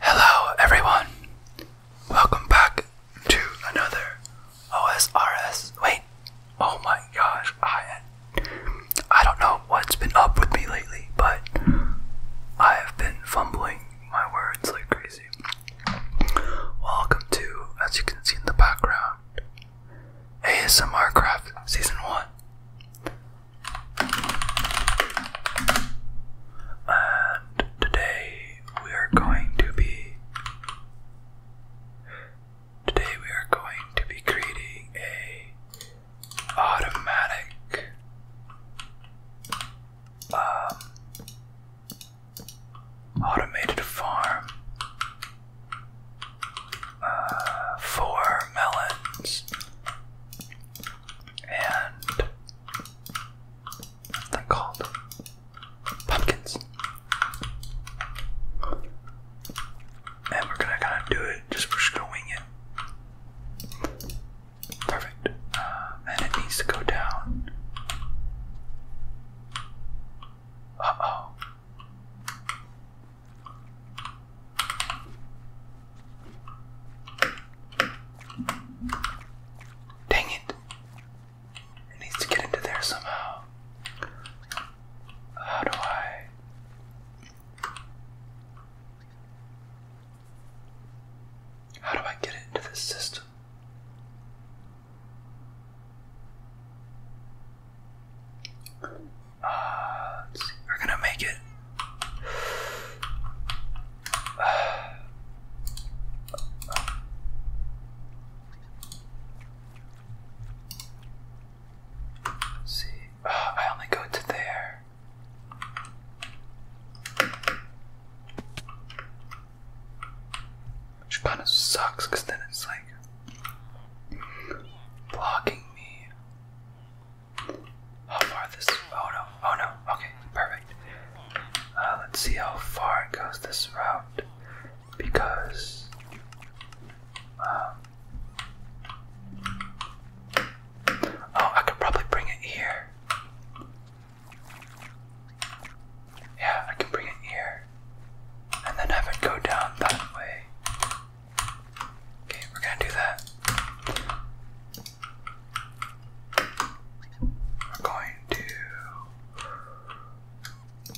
Hello everyone. Welcome back to another OSRS. Wait. Oh my gosh. I I don't know what's been up with me lately, but I have been fumbling my words like crazy. Welcome to, as you can see in the background, ASMR Craft Season 1. Uh, today we are going to be Today we are going to be creating a automatic um, automated farm uh, for melons and they're called pumpkins. And we're gonna kind of do it just for screwing it. Perfect. Uh, and it needs to go down. Uh oh. Dang it. It needs to get into there somehow. How do I? How do I get it into this system? Uh, We're gonna make it see. I only go to there. Which kind of sucks because then it's like blocking me how far this. Oh no, oh no, okay, perfect. Uh, let's see how far it goes this route because. Um, oh, I could probably bring it here. Yeah, I can bring it here. And then have it go down that way. Okay, we're gonna do that. We're going to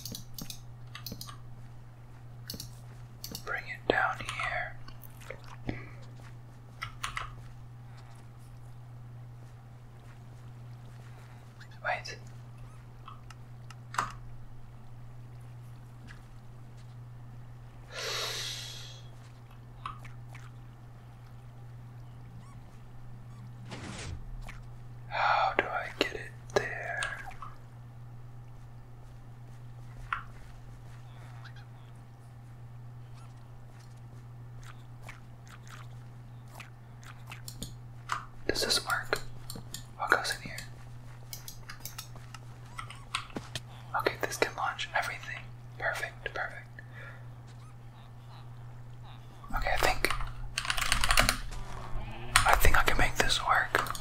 bring it down here. Wait. How do I get it there? Does this work? What goes in here? Okay, this can launch everything. Perfect, perfect. Okay, I think I think I can make this work.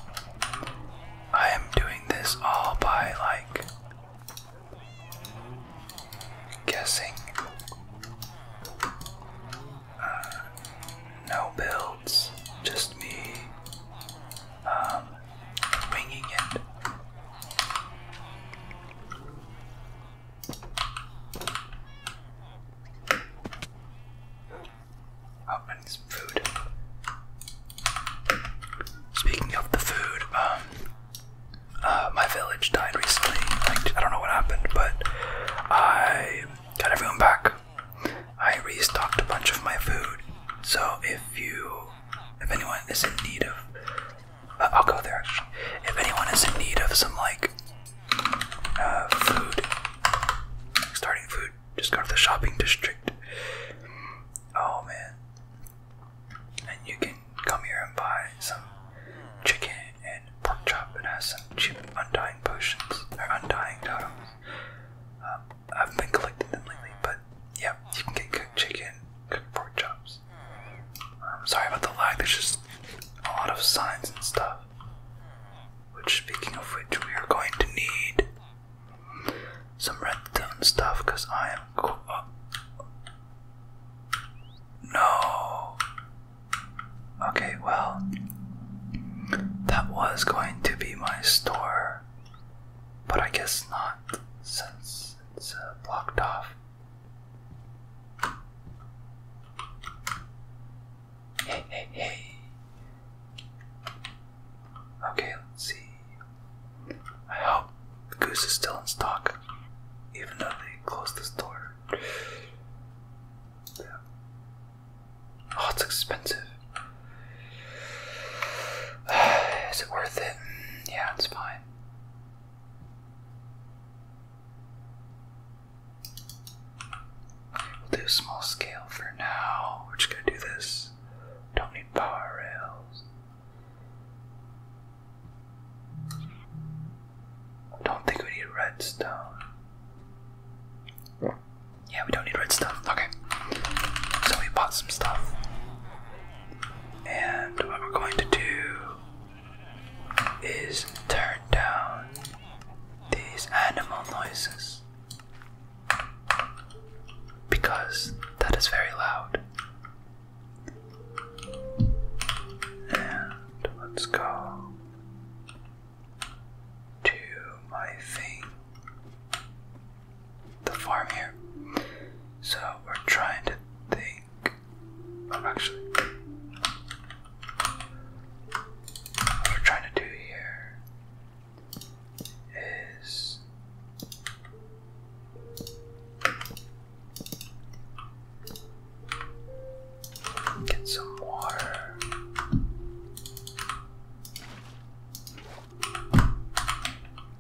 I am doing this all by like guessing. Uh, no builds, just me um, winging it. Oh, some food. Speaking of the food, um, uh, my village died recently. I don't know what happened, but I got everyone back. I restocked a bunch of my food. So if you, if anyone is in need of uh, I'll go there If anyone is in need of some like uh, food, starting food, just go to the shopping district. Oh man. And you can come here and buy some chicken and pork chop and has some cheap undying potions or undying totems. Um, I've been collecting them lately, but yeah, you can get cooked chicken, cooked pork chops, I'm sorry about the lag, there's just a lot of signs and stuff. Which, speaking of which, we are going to need some redstone stuff because I am. Cool. Oh. Uh, no! Okay, well, that was going to be my store, but I guess not since it's uh, blocked off. Hey, hey, hey. Okay, let's see. I hope Goose is still in stock, even though they closed the store. Oh, it's expensive. Is it worth it? Yeah, it's fine. We'll do small scale for now. We're just gonna do this. Don't need power rails. don't think we need redstone. Yeah, we don't need redstone. Okay. So we bought some stuff. And what we're going to do is turn down these animal noises because that is very loud. And let's go to my thing, the farm here. So we're trying to think I'm actually what we're trying to do here is get some water.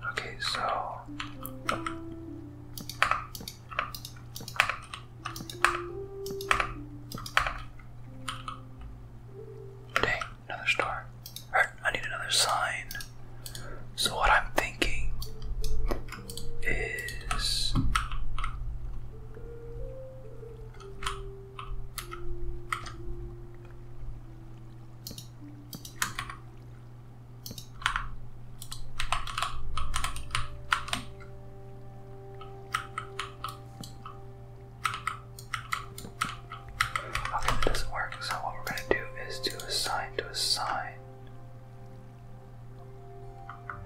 Okay, so Dang, another star. Alright, er, I need another sign. So, what I'm thinking is. Okay, doesn't work. So what we're gonna do is do a sign to a sign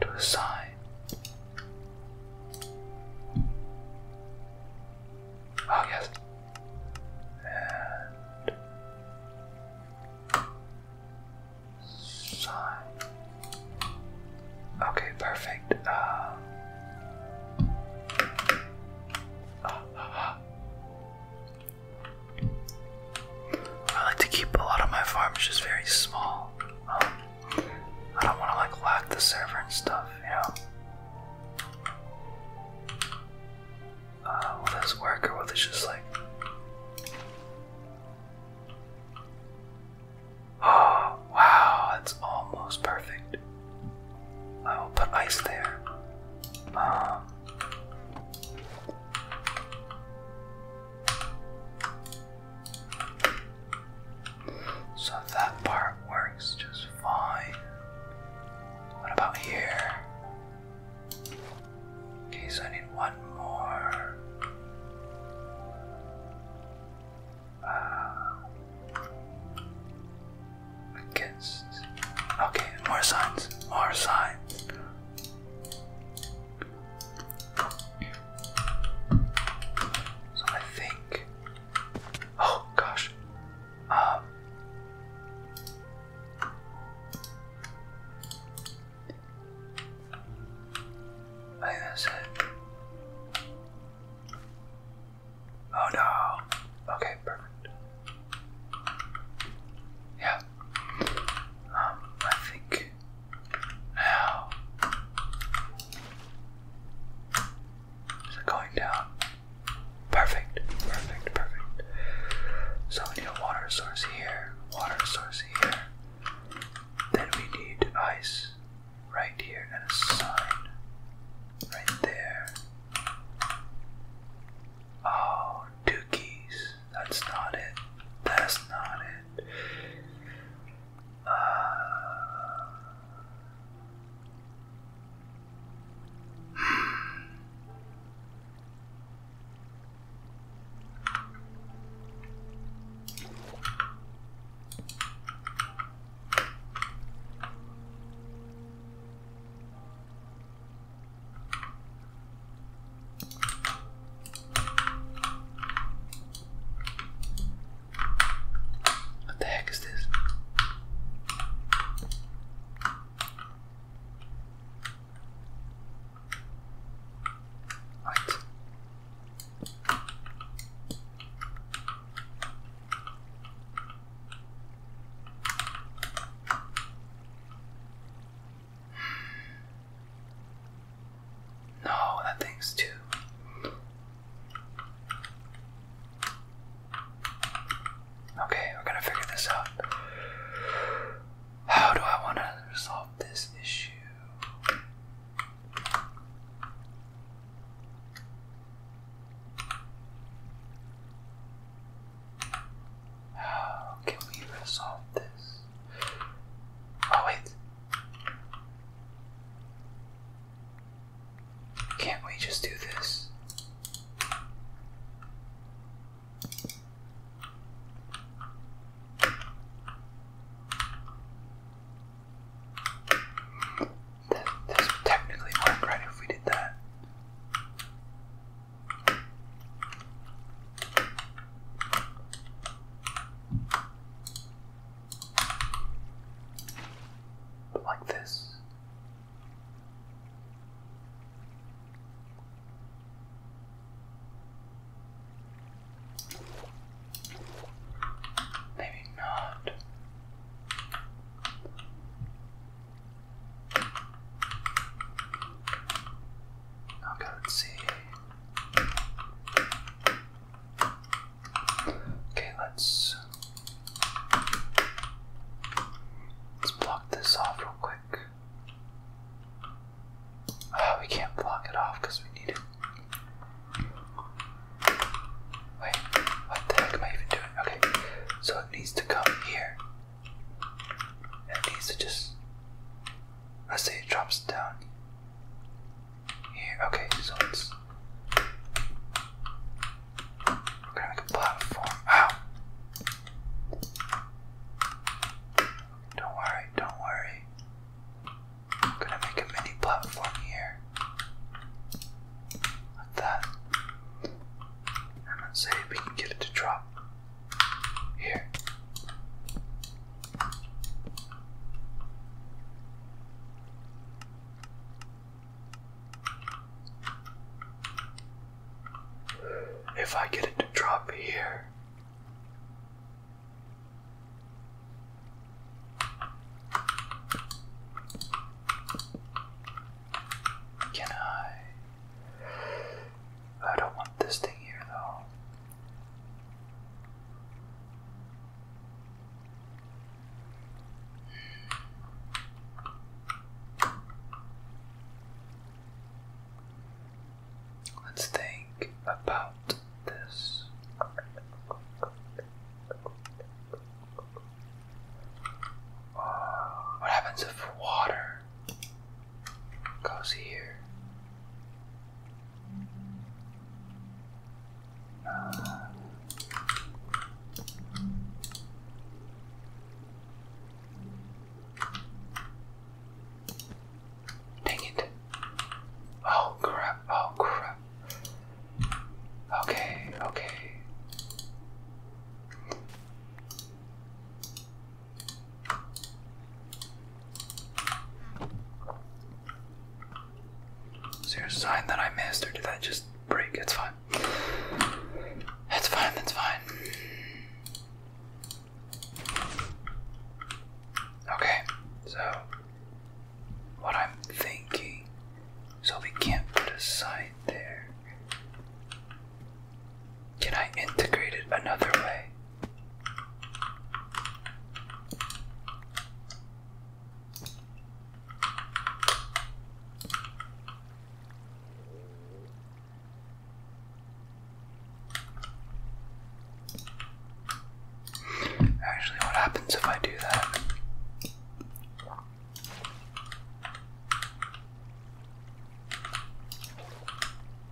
to a sign. Oh yes. Okay, perfect. Uh, I like to keep a lot of my farms just very small. Um, I don't want to like lock the server and stuff, you know. Uh, will this work just like Oh, wow, that's almost perfect. I will put ice there. Um, so that part works just fine. What about here? Okay, so I need one more. Uh, against. Okay, more signs. More signs. So I think. Oh gosh. Um. I think that's it. Oh no. Okay, perfect. Yeah. Um, I think now is it going down? Perfect, perfect, perfect. So we need a water source here, water source here. Then we need ice right here and a sign right there. Oh, dookies. That's not it. That's not it. Uh, hmm. What the heck is this? No, that thing's too. Okay, we're gonna figure this out. How do I want to resolve this issue? How can we resolve this? Oh, wait. Can't we just do this? That, this would technically work right if we did that. But like this. Maybe not. Okay, let's see. Okay, let's let's block this off real quick. Oh, we can't block it off because we need it. Wait, what the heck am I even doing? Okay, so it needs to come here. And it needs to just. let say it drops down here. Okay, so it's. We're gonna make a platform. Ow! Don't worry, don't worry. I'm gonna make a mini platform here. Like that. And let's see if we can get it to drop. Here. If I get it to drop here, can I? I don't want this thing here though. Let's think about Ah, what happens if water goes here? Dang it. Oh crap, oh crap. Okay, okay. Is there a sign that I missed, or did that just break? It's fine. It's fine, that's fine. Okay, so what I'm thinking, so we can't put a sign there. Can I integrate it another way? Actually, what happens if I do that?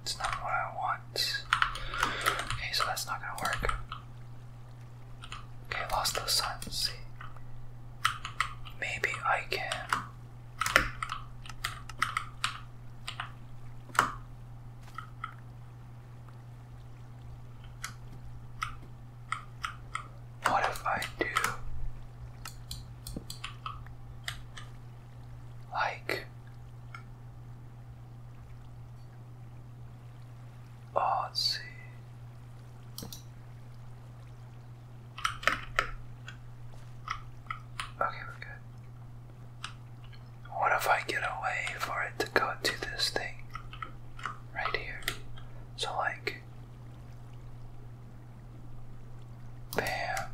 It's not what I want. Okay, so that's not gonna work. Okay, lost the sun. see. Maybe I can. What if I do like oh, Okay, we're good. What if I get away for it to go to this thing right here? So, like, bam,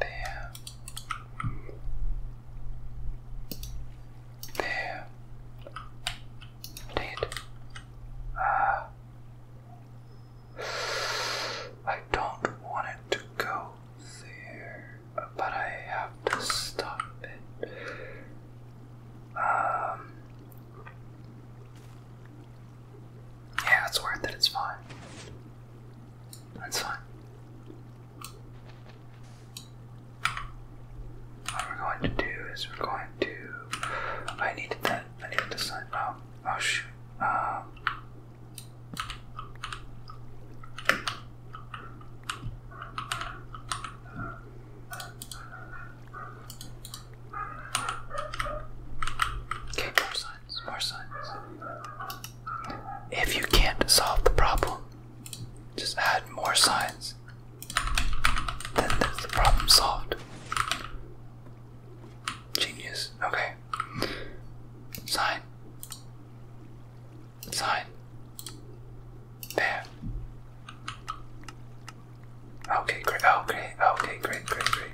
bam, bam. Indeed. Ah. I don't want it to go there, but I have to stop it. Um, yeah, it's worth it. It's fine. That's fine. What we're going to do is we're going to. I needed that. I needed to sign. Oh, oh shoot. Um, if you can't solve the problem, just add more signs. Then there's the problem solved. Genius. Okay. Sign. Sign. There. Okay, great. Oh, Okay, great, great, great.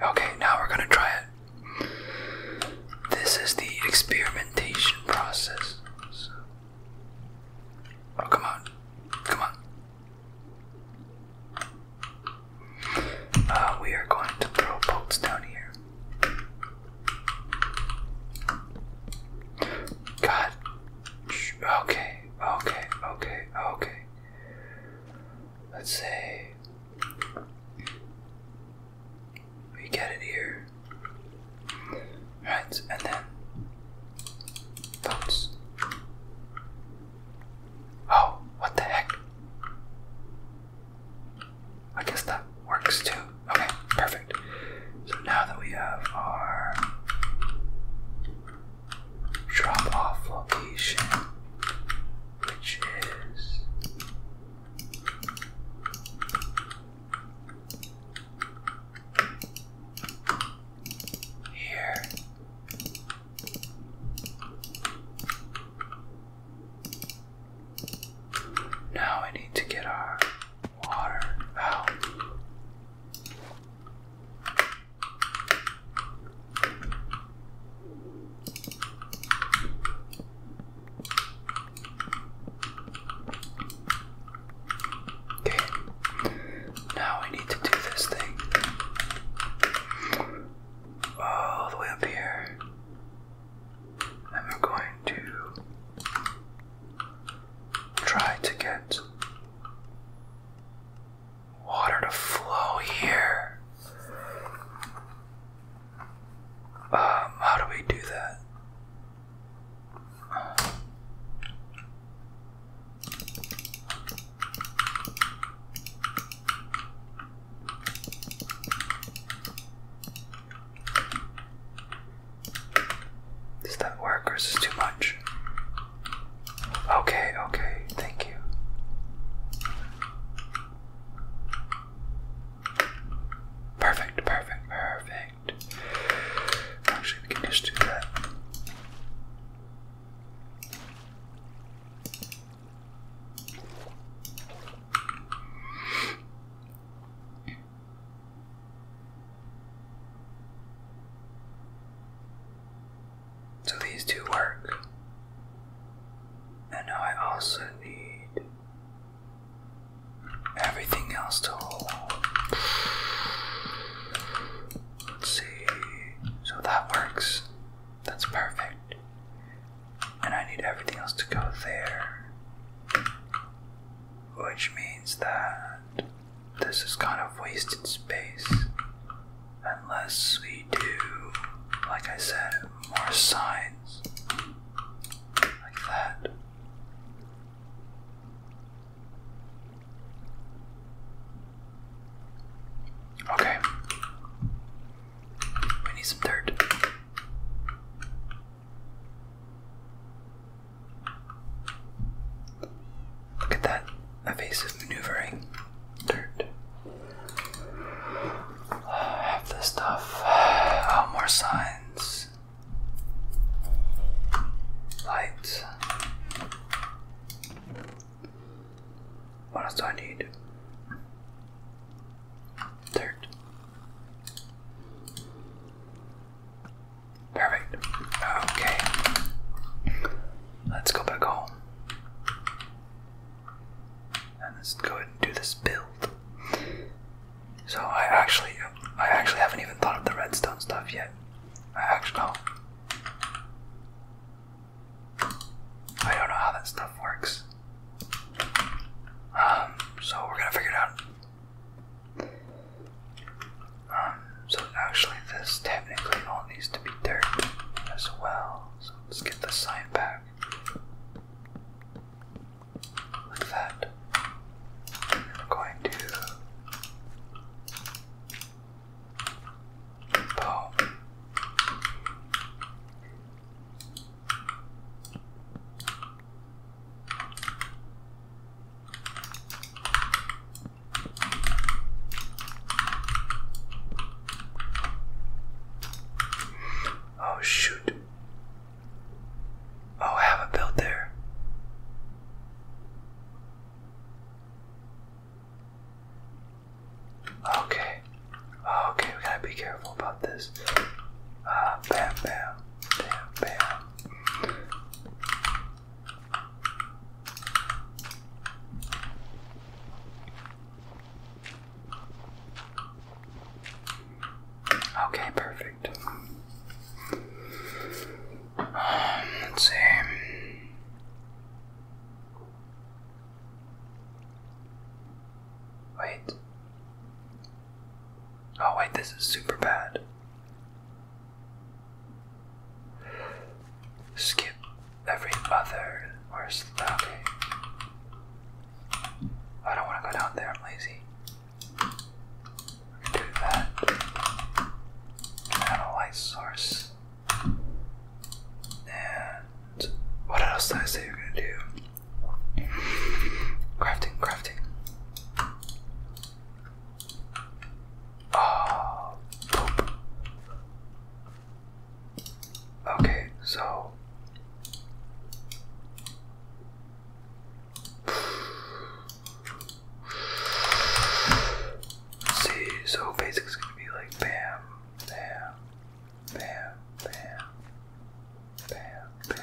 Okay, now we're gonna try it. This is the experimentation process. Oh, come on. Come on. Uh, we are going to throw bolts down here. God. Okay, okay, okay, okay. Let's say we get it here. Right, and then boats. Oh, what the heck? I guess that works too. Okay, perfect. So now that we have our drop off location, which is here. Now I need to get our water out. Okay, now we need to do this thing all the way up here, and we going to try to get water to flow here. Um, how do we do that? Does that work or is this too much? Okay, okay, thank you. Perfect, perfect, perfect. Actually, we can just do that. So these two work. And I also need everything else to hold. Let's see. So that works. That's perfect. And I need everything else to go there. Which means that this is kind of wasted space. Unless we do, like I said, more signs like that. Okay. We need some dirt. Look at that evasive maneuvering. Dirt have this stuff. Oh, more signs. Light. What else do I need? Dirt. Perfect. Okay. Let's go back home let's go ahead and do this build. So I actually, I actually haven't even thought of the redstone stuff yet. I actually, oh. I don't know how that stuff works. Um, so we're gonna figure it out. Um, so actually, this technically all needs to be dirt as well. So let's get the sign back. Like that. I'm going to. Boom. Oh, shoot. Oh, I haven't built there. Okay. Okay, we gotta be careful about this. Uh, bam, bam, bam, bam. Okay, perfect. let's see. Wait. Oh, wait, this is super bad. Skip every other. Where's the. I don't want to go down there, I'm lazy. Do that. And light source. And what else did I say you're gonna do? Crafting, crafting. Oh, Okay, so See, so basic is gonna be like bam, bam, bam, bam, bam,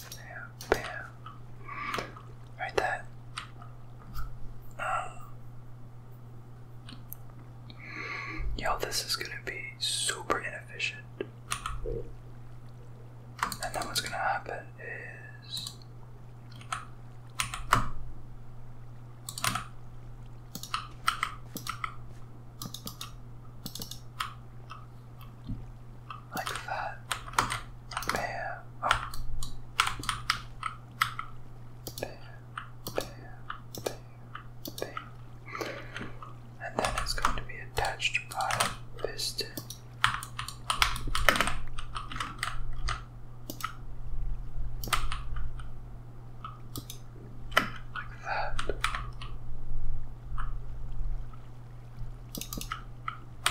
bam, bam, bam. Right that. Um, yo, this is gonna be super inefficient. And then what's going to happen is like that. There. Oh. There. There. There and then it's going to be attached by a piston. Like that.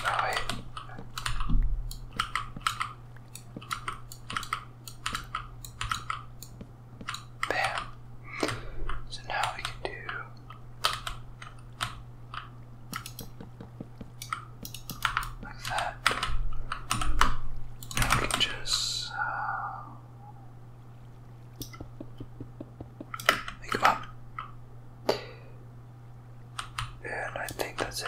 No, Bam. So now we can do like that. Now we can just uh, them up. And I think that's it.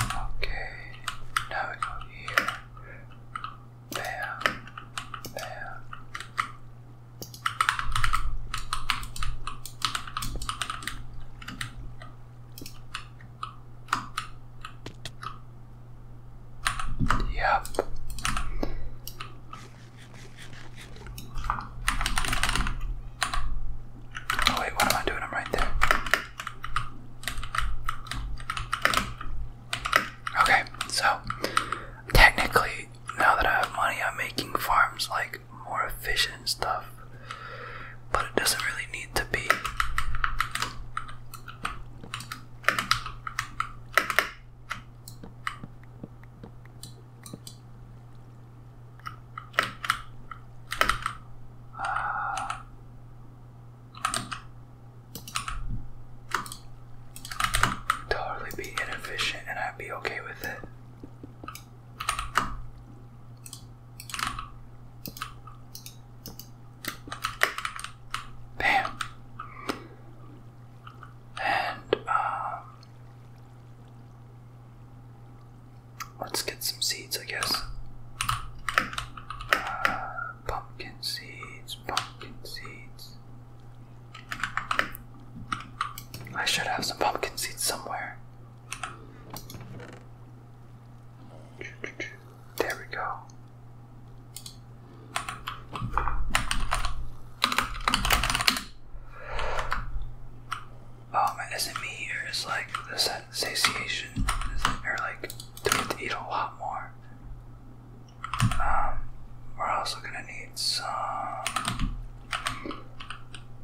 Okay, now we go here. There, there. Yep. Oh wait, what am I doing? I'm right there. Okay, so technically, now that I have money, I'm making farms like more efficient stuff, but it doesn't really need to be totally be inefficient and I'd be okay with it. Bam. And um Let's get some seeds, I guess. pumpkin seeds, pumpkin seeds. I should have some pumpkin seeds somewhere. There we go. Oh, man, is it me or is that satiation, or like to eat a lot more. Um, we're also gonna need some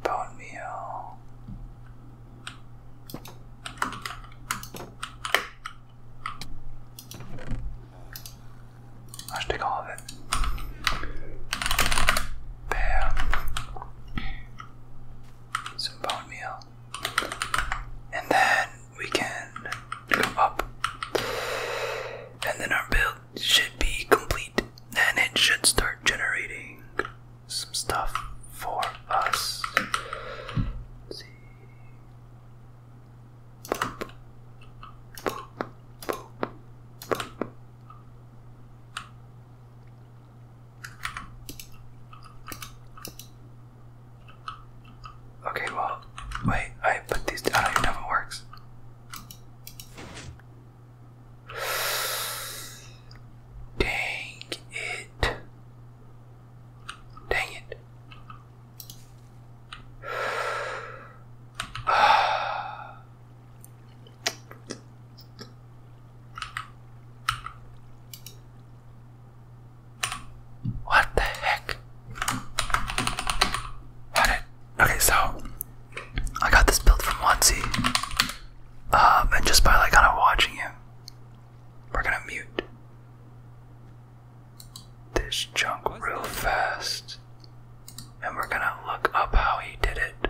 bone meal. I should take all of it. Bam some bone meal. And then we can go up. And then our build should be complete. And it should start generating some stuff for us. Okay, well, wait, I put these down. I don't know if it works. Dang it. Dang it. What the heck? How did okay? So I got this build from Onesie, uh, and just by like kind of watching him, we're gonna mute this junk real fast, and we're gonna look up how he did it.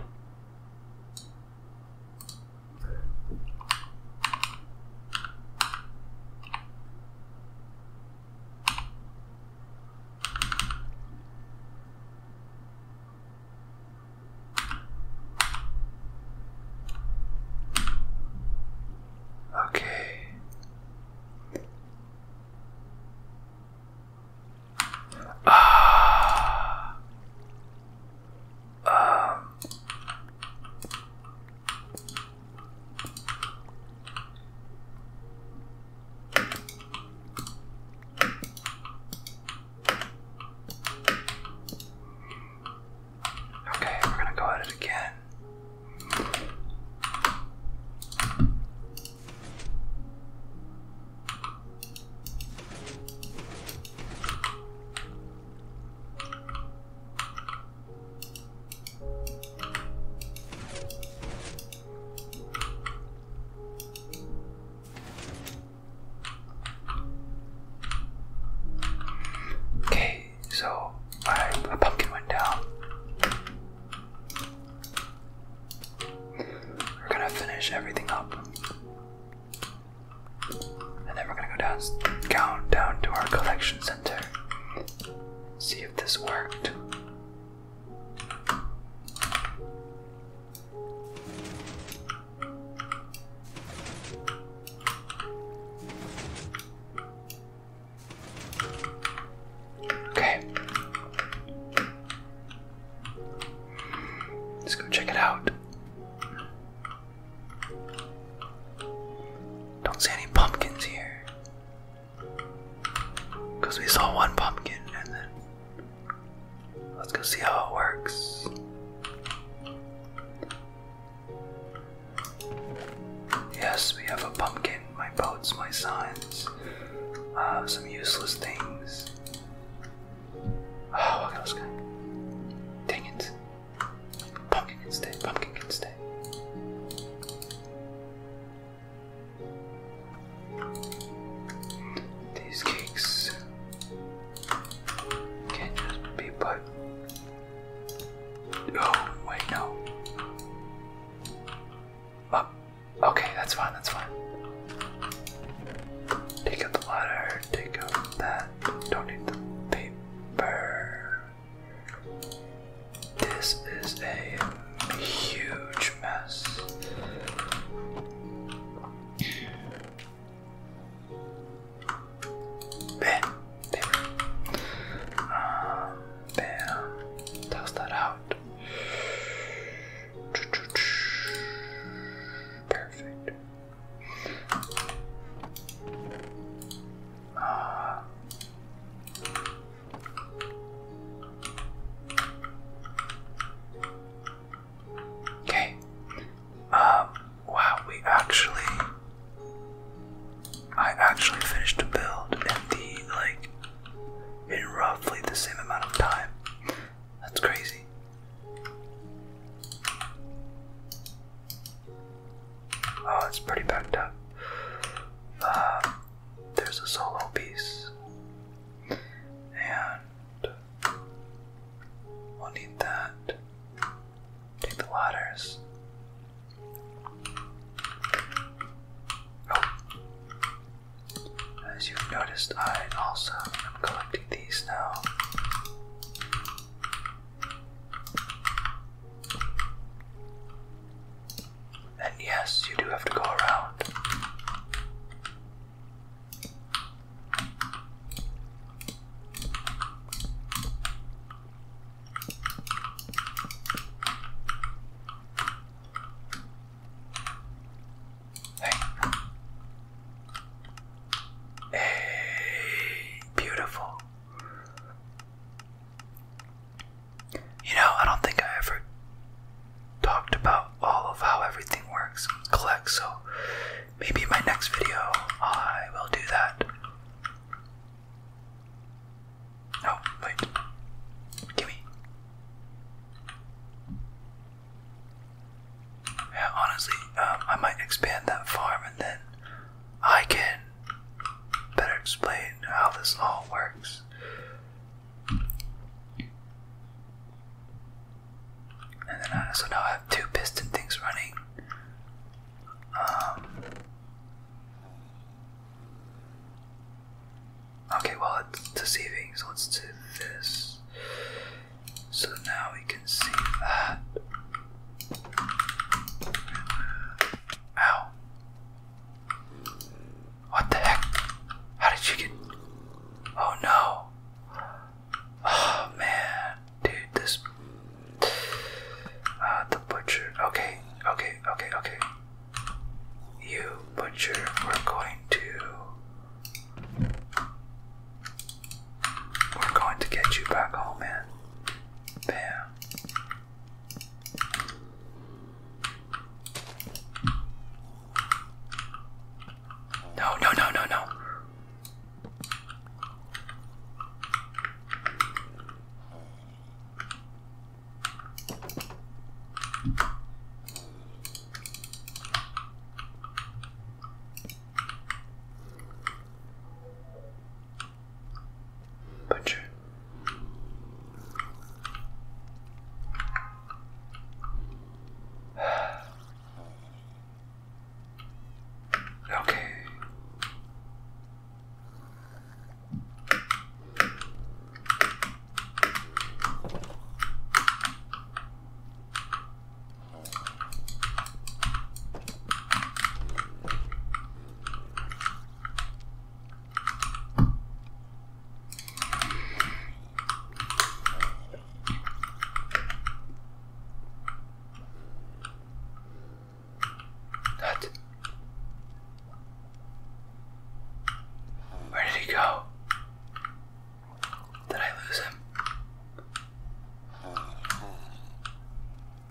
Okay. Ah. Um, okay, we're going to go at it again. Okay, so I, a pumpkin went down. We're gonna finish everything up. And then we're gonna go down, down, down to our collection center. See if this worked. Okay. Let's go check it out. Don't see any pumpkins here. Because we saw one pumpkin and then. Let's go see how it works. Yes, we have a pumpkin, my boats, my signs, uh, some useless things. Oh, ah, I at this guy. Dang it. Pumpkin can stay, pumpkin can stay. These cakes can just be put. Oh, wait, no. Oh, okay, that's fine, that's fine. Take out the ladder, take out that don't need the paper. This is a huge mess. Bam, uh, bam, toss that out. Perfect. Uh, okay. Um, wow, we actually. I actually finished a build in the, like, in roughly the same amount of time. That's crazy. Oh, it's pretty backed up. Um, there's a solo piece. And we'll need that. Take the ladders. Oh. As you've noticed, I also am collecting these now. And yes, you do have to go around. Hey. Hey, beautiful. You know, I don't think I ever talked about all of how everything works collects, so maybe my next video I will do that. Oh, wait. Gimme. Yeah, honestly, um, I might expand that farm and then I can better explain how this all works. And then I, uh, now I have two piston things running. Um, okay, well, it's deceiving, so let's do this. So now we can see that. Ow. What the heck? How did you get. Oh no. Oh man. Dude, this. Uh, the butcher. Okay, okay, okay, okay. You, butcher, we're going to. We're going to get you back home, man. Bam. No, no, no, no, no. Butcher. okay. That. Where did he go? Did I lose him? yes,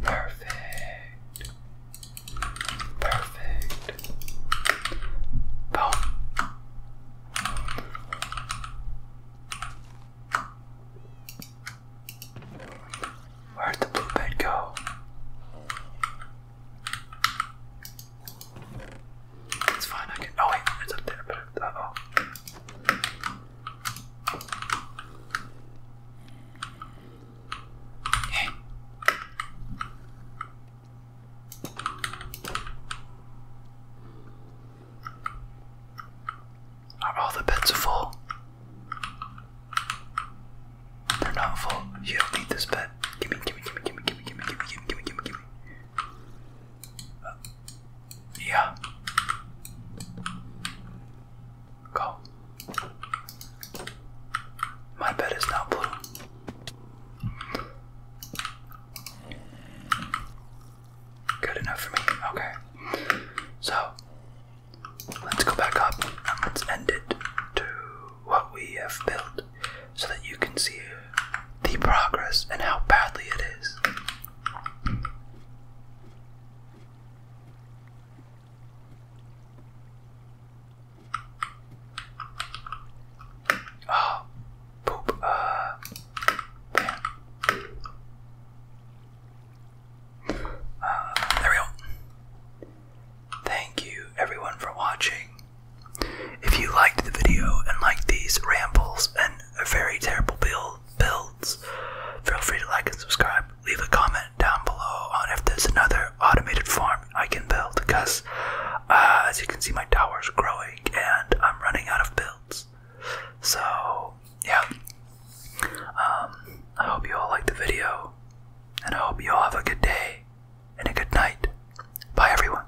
Perfect. Perfect. Boom. where did the blue bed go? It's fine, I can. Oh, wait, it's up there, oh. Okay. Are all the beds full? They're not full. You don't need this bed. Gimme, gimme, gimme, gimme, gimme, gimme, gimme, gimme, gimme, gimme, gimme. Yeah. Go. My bed is now blue. Good enough for me. Okay. So, let's go back up and let's end it to what we have built so that you can see the progress and how badly it is. Oh, poop. Uh, uh, there we go. Thank you, everyone, for watching. If you liked the video and liked these rambles and a very terrible build, builds. Feel free to like and subscribe. Leave a comment down below on if there's another automated farm I can build because uh, as you can see my tower's growing and I'm running out of builds. So yeah. Um, I hope you all liked the video and I hope you all have a good day and a good night. Bye everyone.